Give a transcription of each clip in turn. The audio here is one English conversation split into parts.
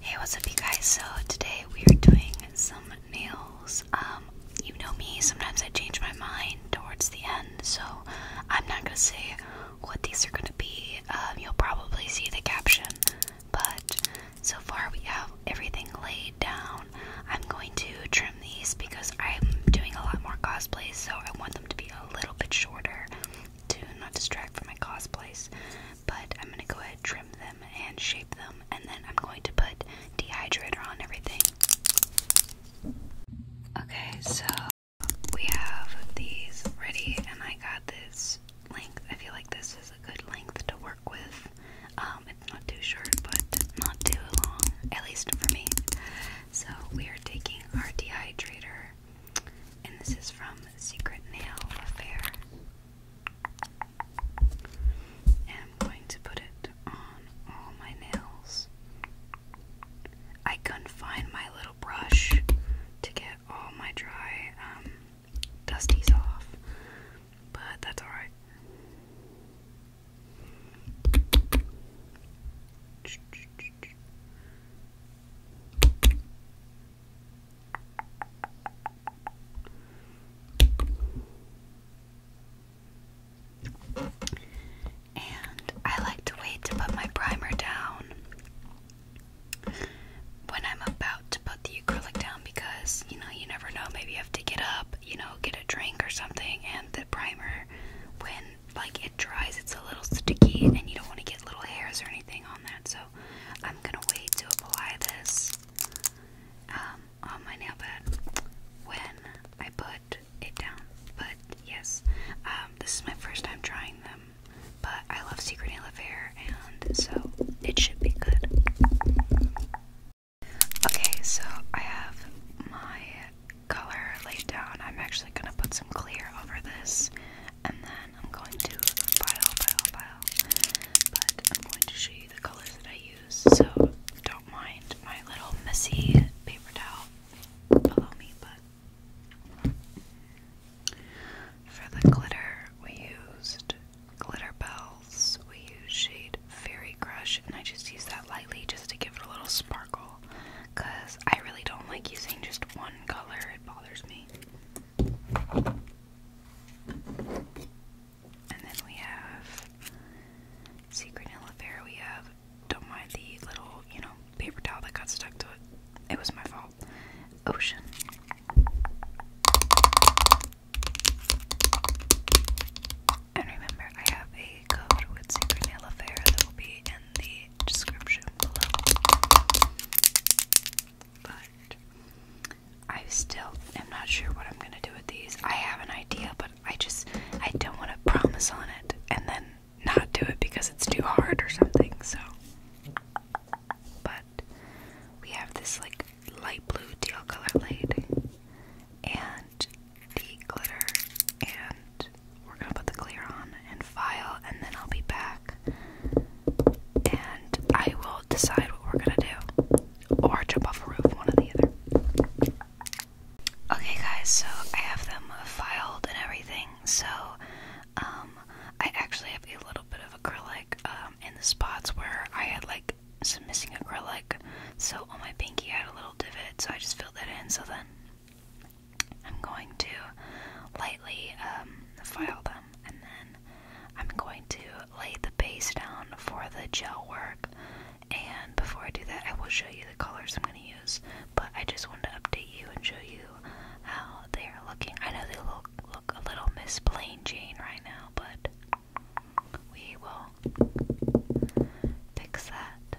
Hey, what's up, you guys? So today we are doing some nails. Um, you know me, sometimes I change my mind towards the end, so I'm not gonna say what these are gonna be. Um, you'll probably see the caption, but so far we have everything laid down. I'm going to trim these because I'm doing a lot more cosplays, so I want them to be a little bit shorter to not distract from my cosplays but I'm gonna go ahead trim them and shape them, and then I'm going to put dehydrator on everything. Okay, so we have these ready, and I got this length. I feel like this is a good length to work with. Um, it's not too short, but not too long, at least for me. So we are taking our dehydrator, and this is from Secret Nail Affair. I'm going to put it on all my nails. I couldn't find my little brush to get all my dry um, dusties off, but that's alright. And I like to wait to put my primer down when I'm about to put the acrylic down because, you know, you never know. Maybe you have to get up, you know, get a drink or something, and the primer, when like it dries, it's a little sticky, and you don't want to get little hairs or anything on that. So I'm gonna wait to apply this um, on my nail bed when I put it down. But yes, um, this is my first time trying them, but I love Secret Nail Affair, and so it should be good. Okay, so I have my color laid down. I'm actually gonna put some clear over this and then I'm going to pile, pile, pile. But I'm going to show you the colors that I use, so don't mind my little messy paper towel below me. But for the glitter, we used glitter bells. We used shade Fairy Crush, and I just use that lightly just to give it a little sparkle. Cause I really don't like using just one color; it bothers me. And then we have Secret Illafera. We have don't mind the little, you know, paper towel that got stuck to it. It was my fault. Ocean. And remember, I have a code with Secret Illafera that will be in the description below but I still am not sure what I'm gonna do with these. I have an idea, but I just I don't want to promise on it and then not do it because it's too hard or something. So, but we have this like light blue teal color laid and the glitter and. We're gonna put the clear on and file, and then I'll be back and I will decide what we're gonna do. Or jump off a roof, one or the other. Okay guys, so I have them filed and everything, so um I actually have a little bit of acrylic um in the spots where I had like some missing acrylic. So on my pinky I had a little divot, so I just filled that in so then I'm going to lightly um, file them and then I'm going to lay the base down for the gel work. And before I do that, I will show you the colors I'm going to use. But I just wanted to update you and show you how they are looking. I know they look a little Miss Plain Jane right now, but we will fix that.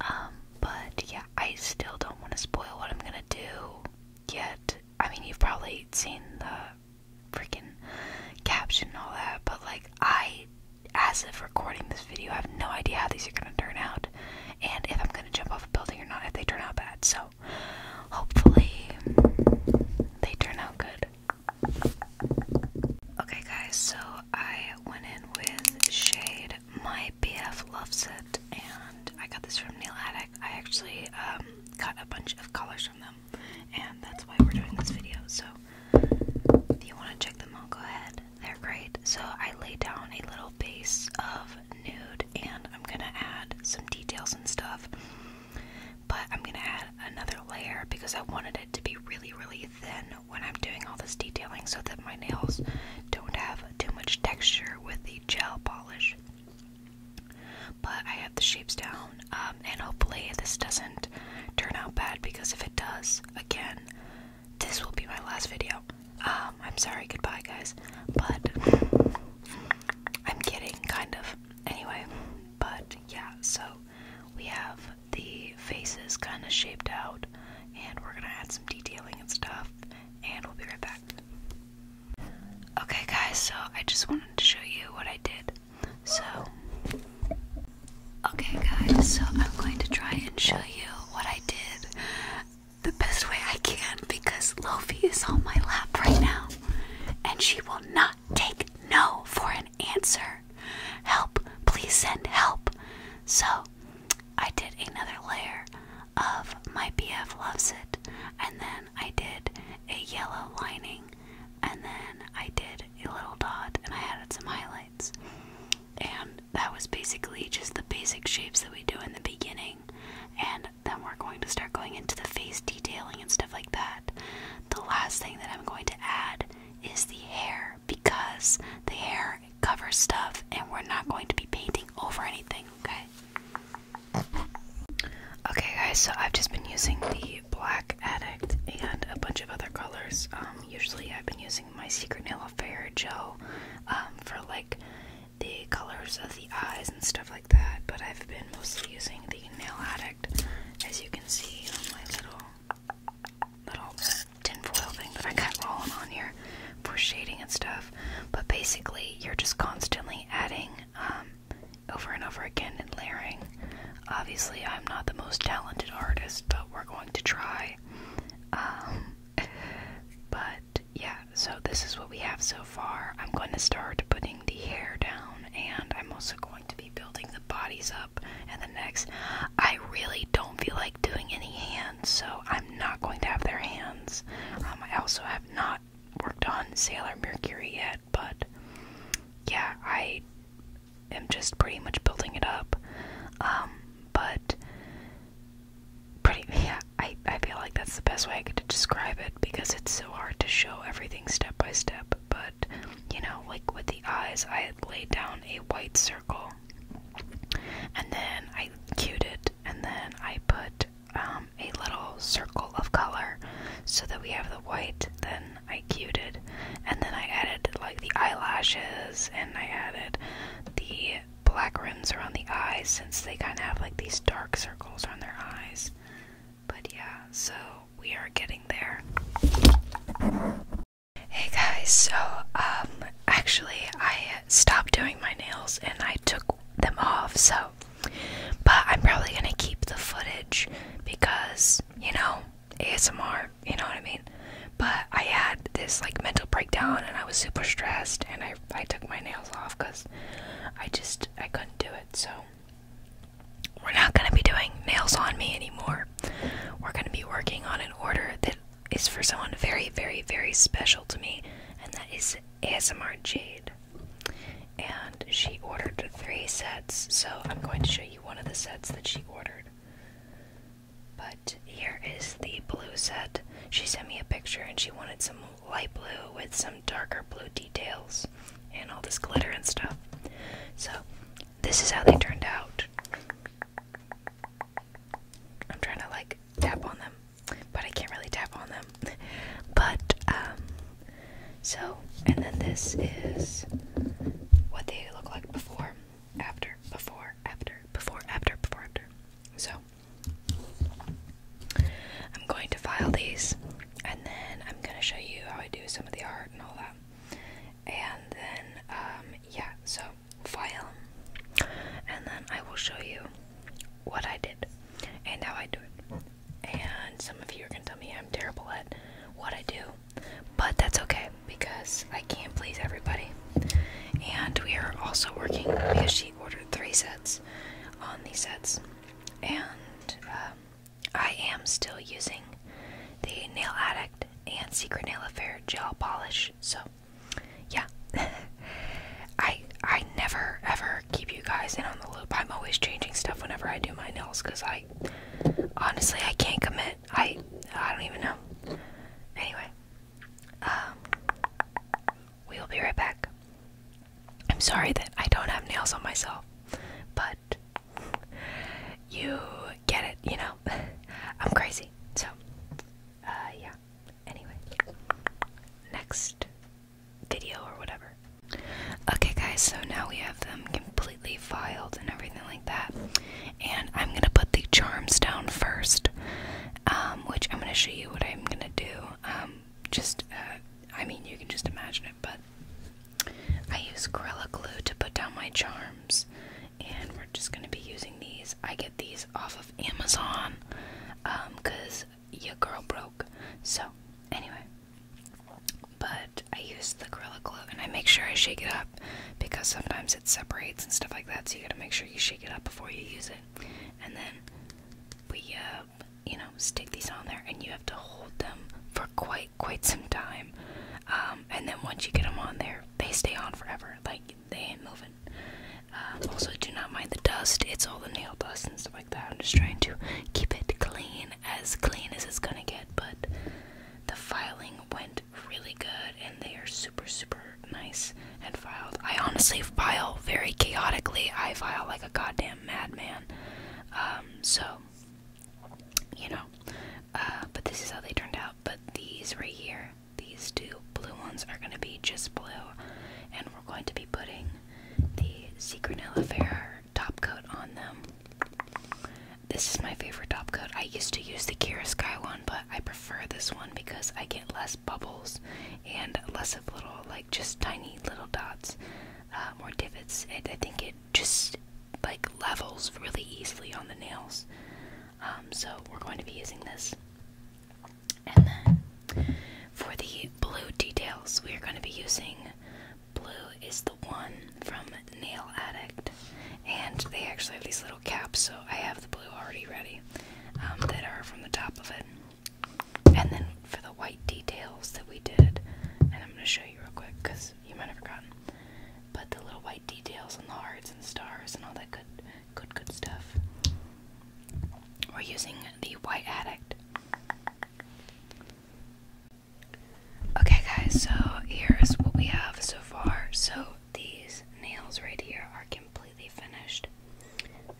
Um, but yeah, I still don't want to spoil what I'm gonna do yet. I mean, you've probably seen the freaking caption all that, but like, I, as of recording this video, I have no idea how these are gonna turn out and if I'm gonna jump off a building or not if they turn out bad. So, hopefully, they turn out good. Okay, guys, so I went in with Shade. My BF loves it and I got this from Nail Addict. I actually got um, a bunch of colors from them, and that's why we're doing this video. So, if you want to check them out, go ahead. They're great. So, I lay down a little base of nude, and I'm gonna add some details and stuff, but I'm gonna add another layer because I wanted it to be really, really thin when I'm doing all this detailing so that my nails don't have too much texture with the gel polish. But I have the shapes down, um, and hopefully this doesn't turn out bad because if it does, again, this will be my last video. Um, I'm sorry, goodbye, guys. But I'm kidding, kind of. Anyway, but yeah, so we have the faces kind of shaped out, and we're gonna add some detailing and stuff, and we'll be right back. Okay, guys, so I just wanted to show you what I did. So, okay, guys, so I'm going to try and show you what I did the best way I can because Lofi is on my lap right now and she will not take no for an answer. Help, please send help. So, I did another layer of My BF Loves It, and then I did a yellow lining, and then I did a little dot, and I added some highlights. And that was basically just the basic shapes that we do in the beginning, and then we're going to start going into the face detailing and stuff like that. The last thing that I'm going to add is the hair because the hair covers stuff and we're not going to be painting over anything, okay? Okay, guys, so I've just been using the Black Addict and a bunch of other colors. Um, usually, I've been using my Secret Nail Affair gel um, for like the colors of the eyes and stuff like that, but I've been mostly using the Nail Addict as you can see on my little little foil thing that I got rolling on here for shading and stuff. But basically, you're just constantly adding um, over and over again and layering. Obviously, I'm not the most talented artist, but we're going to try. Um, but yeah, so this is what we have so far. I'm going to start putting the hair down, and I'm also going to be building the bodies up and the next, I really don't feel like doing any hands, so I'm not going to have their hands. Um, I also have not worked on Sailor Mercury yet, but yeah, I am just pretty much building it up. Um, but pretty yeah, I, I feel like that's the best way I could describe it because it's so hard to show everything step by step. But you know, like with the eyes, I laid down a white circle and then I cued it and then I put um, a little circle of color so that we have the white. Then I cut it, and then I added like the eyelashes, and I added the black rims around the eyes since they kind of have like these dark circles around their eyes. But yeah, so we are getting there. Hey guys, so um, actually I stopped doing my nails and I took them off, so but I'm probably gonna keep the footage because you know ASMR, you know what I mean? But I had this like mental breakdown and I was super stressed and I I took my nails off because I just I couldn't do it so we're not gonna be doing nails on me anymore. We're gonna be working on an order that is for someone very, very, very special to me, and that is ASMR Jade and she ordered three sets, so I'm going to show you one of the sets that she ordered. But here is the blue set. She sent me a picture and she wanted some light blue with some darker blue details and all this glitter and stuff. So, this is how they turned out. I'm trying to like tap on them but I can't really tap on them. but um, so and then this is what they look like before, after, before, after, before, after, before, after. So I'm going to file these, and then I'm gonna show you how I do some of the art and all that. And then um, yeah, so file, and then I will show you what I did and how I do it. And some of you are gonna tell me I'm terrible at what I do, but that's okay because I can't please everybody. And we are also working because she ordered three sets on these sets, and um, I am still using the Nail Addict and Secret Nail Affair gel polish. So, yeah. I I never ever keep you guys in on the loop. I'm always changing stuff whenever I do my nails because I honestly I can't commit. I I don't even know. Anyway, um, we will be right back. I'm sorry that I don't have nails on myself, but you get it, you know. I'm crazy, so uh, yeah. Anyway, next video or whatever. Okay, guys, so now we have them completely filed and everything like that. And I'm going to put the charms down first, um, which I'm going to show you what I'm going to do. Um, just, uh, I mean, you can just imagine it, but I use Gorilla Glue to put down my charms. And we're just going to be using these. I get these off of Amazon because um, your girl broke. So, anyway. But I use the Gorilla Glue and I make sure I shake it up because sometimes it separates and stuff like that, so you gotta make sure you shake it up before you use it. And then we, uh, you know, stick these on there and you have to hold them for quite, quite some time. Um, and then once you get them on there, they stay on forever. Like, they ain't moving. Um, also, do not mind the dust. It's all the nail dust and stuff like that. I'm just trying to keep it clean, as clean as it's gonna get. But the filing went really good, and they are super, super nice and filed. I honestly file very chaotically. I file like a goddamn madman. Um, so you know, uh, but this is how they turned out. But these right here, these two blue ones are gonna be just blue, and we're going to be putting the Secrenella Fair top coat on them. This is my favorite top coat. I used to use the Kira Sky one, but I prefer this one because I get less bubbles and less of little, like just tiny little dots, uh, more divots. I think it just like levels really easily on the nails. Um, so we're going to be using this. And then for the blue details, we are going to be using blue is the one from Nail Addict. And they actually have these little caps, so I have the blue already ready um, that are from the top of it. And then for the white details that we did, and I'm going to show you real quick because you might have forgotten, but the little white details and the hearts and stars and all that good, good, good stuff. We're using the White Addict. Okay, guys, so here's what we have so far. So these nails right here are completely finished.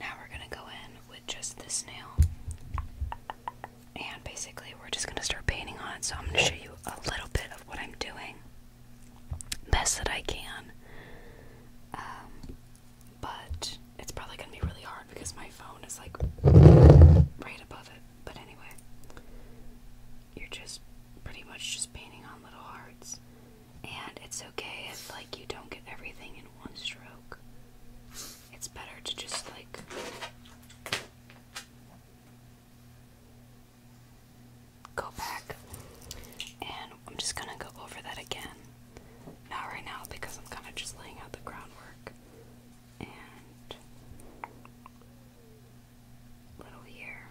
Now we're gonna go in with just this nail, and basically, we're just gonna start painting on it. So, I'm gonna show you a little bit of what I'm doing best that I can. Um, but it's probably gonna be really hard because my phone is like right above it. But anyway, you're just pretty much just painting on little hearts, and it's okay if like you don't get everything in one stroke. It's better to just like. Go back, and I'm just gonna go over that again. Not right now because I'm kind of just laying out the groundwork. And little here.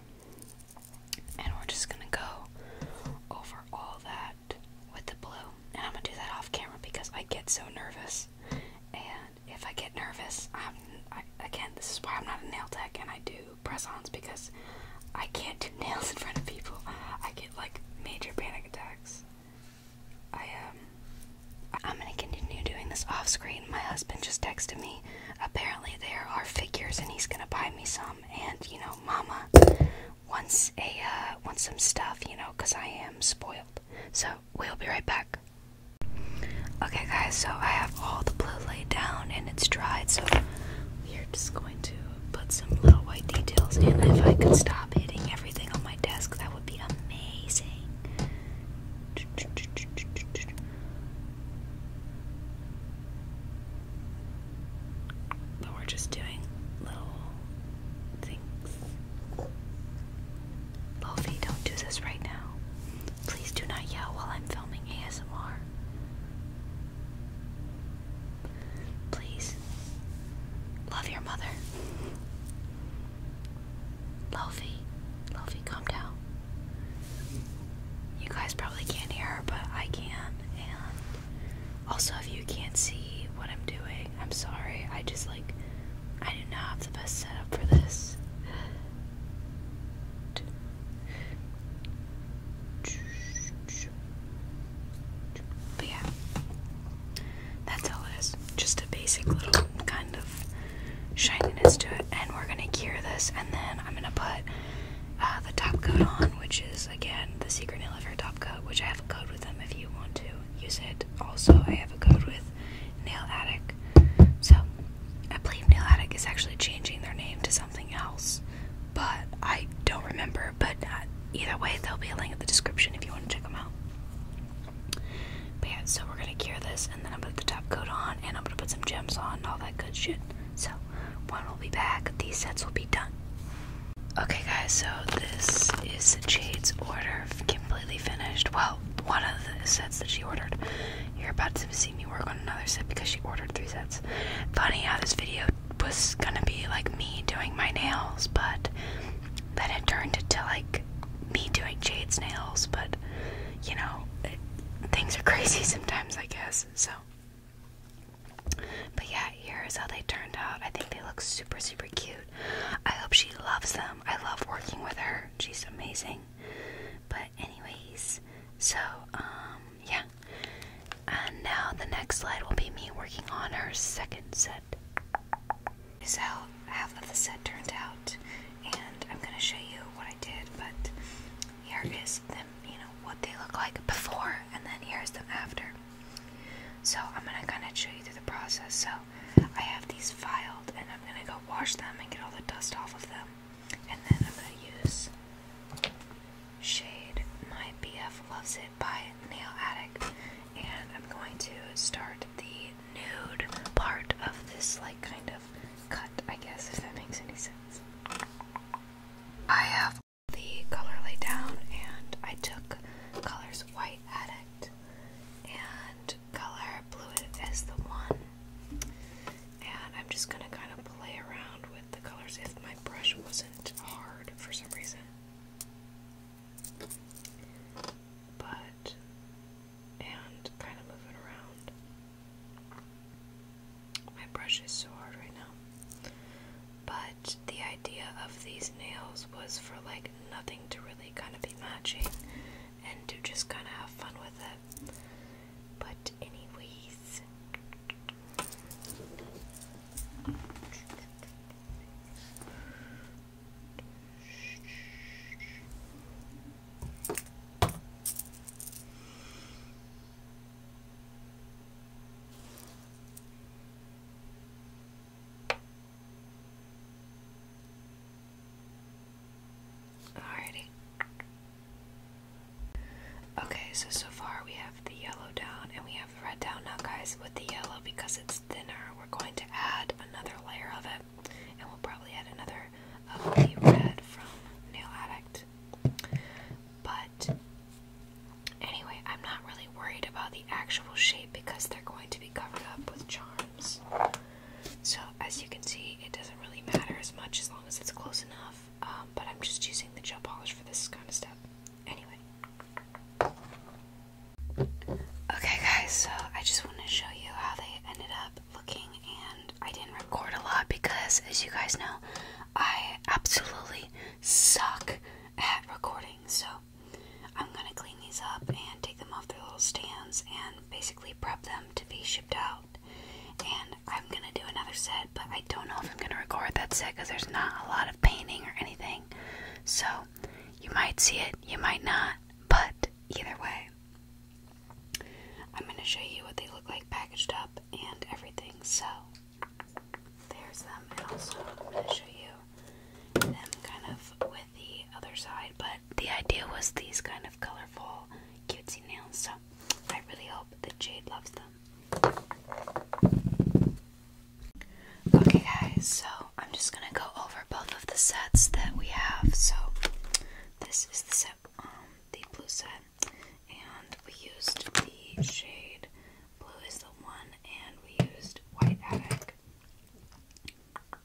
And we're just gonna go over all that with the blue. And I'm gonna do that off camera because I get so nervous. And if I get nervous, i can't. this is why I'm not a nail tech and I do press-ons because I can't do nails in front of people. I get like major panic attacks. I um, I'm gonna continue doing this off screen. My husband just texted me. Apparently there are figures, and he's gonna buy me some. And you know, Mama wants a uh, wants some stuff, you know, cause I am spoiled. So we'll be right back. Okay, guys. So I have all the blue laid down, and it's dried. So we are just going to put some little white details in. If I could stop hitting everything on my desk, that would be amazing. But we're just doing little things. Lofi, don't do this right now. Please do not yell while I'm filming ASMR. Please love your mother. Lofi, Lofi, calm down. You guys probably can't hear but I can. And also, if you can't see what I'm doing, I'm sorry. I just like, I do not have the best setup for this. But yeah, that's all it is. Just a basic little kind of shininess to it. And we're gonna cure this, and then I'm gonna put uh, the top coat on, which is again the Secret Nail of Hair top coat, which I have a code with them if you want to use it. Also, I have a code with Nail Addict. So I believe Nail Addict is actually changing their name to something else, but I don't remember but uh, either way, there'll be a link in the description if you want to check them out. But yeah, so we're gonna cure this, and then I'm gonna put the top coat on, and I'm gonna put some gems on, all that good shit. So one will be back. These sets will be done. Okay, guys. So this is Jade's order, completely finished. Well, one of the sets that she ordered. You're about to see me work on another set because she ordered three sets. Funny how this video was gonna be like me doing my nails, but then it turned into like me doing Jade's nails. But you know, things are crazy sometimes, I guess. So, but yeah, here's how they turned out. I think they look super, super cute. I hope she loves them. I love working with her, she's amazing. But, anyways, so, um, yeah, and now the next slide will be me working on her second set. This is how half of the set turned out, and I'm gonna show you what I did, but here is them, you know, what they look like before, and then here's them after. So I'm gonna kind of show you through the process. So I have these filed, and I'm gonna go wash them and get all the dust off of them, and then I'm gonna use shade My BF Loves It by Nail Addict, and I'm going to start the nude part of this, like, kind of cut, I guess, if that makes any sense. I have the color laid down, and I took colors White Addict and color Blue as the one, and I'm just gonna kind of play around with the colors if my brush wasn't hard for some reason. But, and kind of move around. My brush is so hard right now. But the idea of these nails was for like nothing to really kind of be matching and to just kind of have fun with it. But, anyways, Alrighty. Okay, so so far we have the yellow down and we have the red down now guys with the yellow because it's thinner we're going to add another layer of it and we'll probably add another of the red from Nail Addict but anyway I'm not really worried about the actual shape because they're going to be covered up with charms so as you can see it doesn't really matter as much as long as it's close enough um, but I'm just using the gel polish for this kind of stuff anyway Okay guys, so I just want to show you how they ended up looking and I didn't record a lot because as you guys know, I absolutely suck at recording. So I'm going to clean these up and take them off their little stands and basically prep them to be shipped out. And I'm going to do another set but I don't know if I'm gonna record that set because there's not a lot of painting or anything. So you might see it, you might not, but either way, I'm gonna show you what they look like packaged up and everything. So there's them, and also I'm gonna show you them kind of with the other side. But the idea was these kind of colorful, cutesy nails. So I really hope that Jade loves them. Okay, guys, so I'm just gonna go over both of the sets that we have. So, this is the set, um, the blue set, and we used the shade blue is the one, and we used white attic.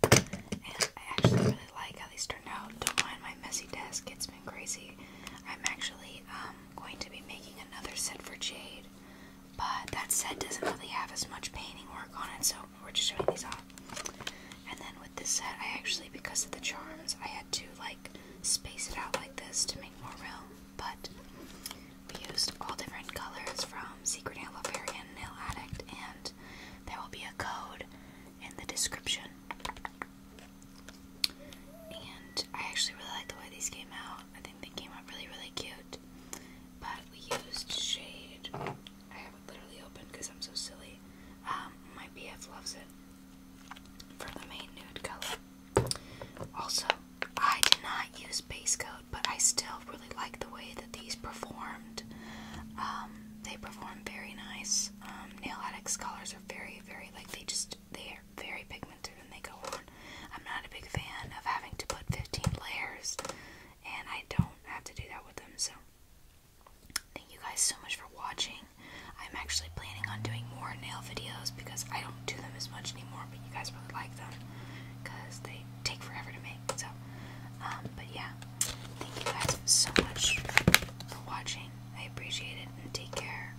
And I actually really like how these turned out. Don't mind my messy desk, it's been crazy. I'm actually um, going to be making another set for Jade. But that set doesn't really have as much painting work on it, so we're just showing these off. And then with this set, I actually, because of the charms, I had to like space it out like this to make more room. But we used all different colors from Secret Nail Lover and Nail Addict, and there will be a code in the description. And I actually really like the way these came out. I think they came out really, really cute. But we used shade. I have it literally open because I'm so silly. Um, my BF loves it for the main nude color. Also, I did not use base coat, but I still really like the way that these performed. Um, they performed very nice. Um, nail addicts colors are very, very like they just they very pigmented and they go on. I'm not a big fan of having to put 15 layers, and I don't have to do that with them. So, thank you guys so much for watching. I'm actually planning on doing more nail videos because I don't do them as much anymore, but you guys really like them because they take forever to make. So, um, but yeah, thank you guys so much for watching. I appreciate it and take care.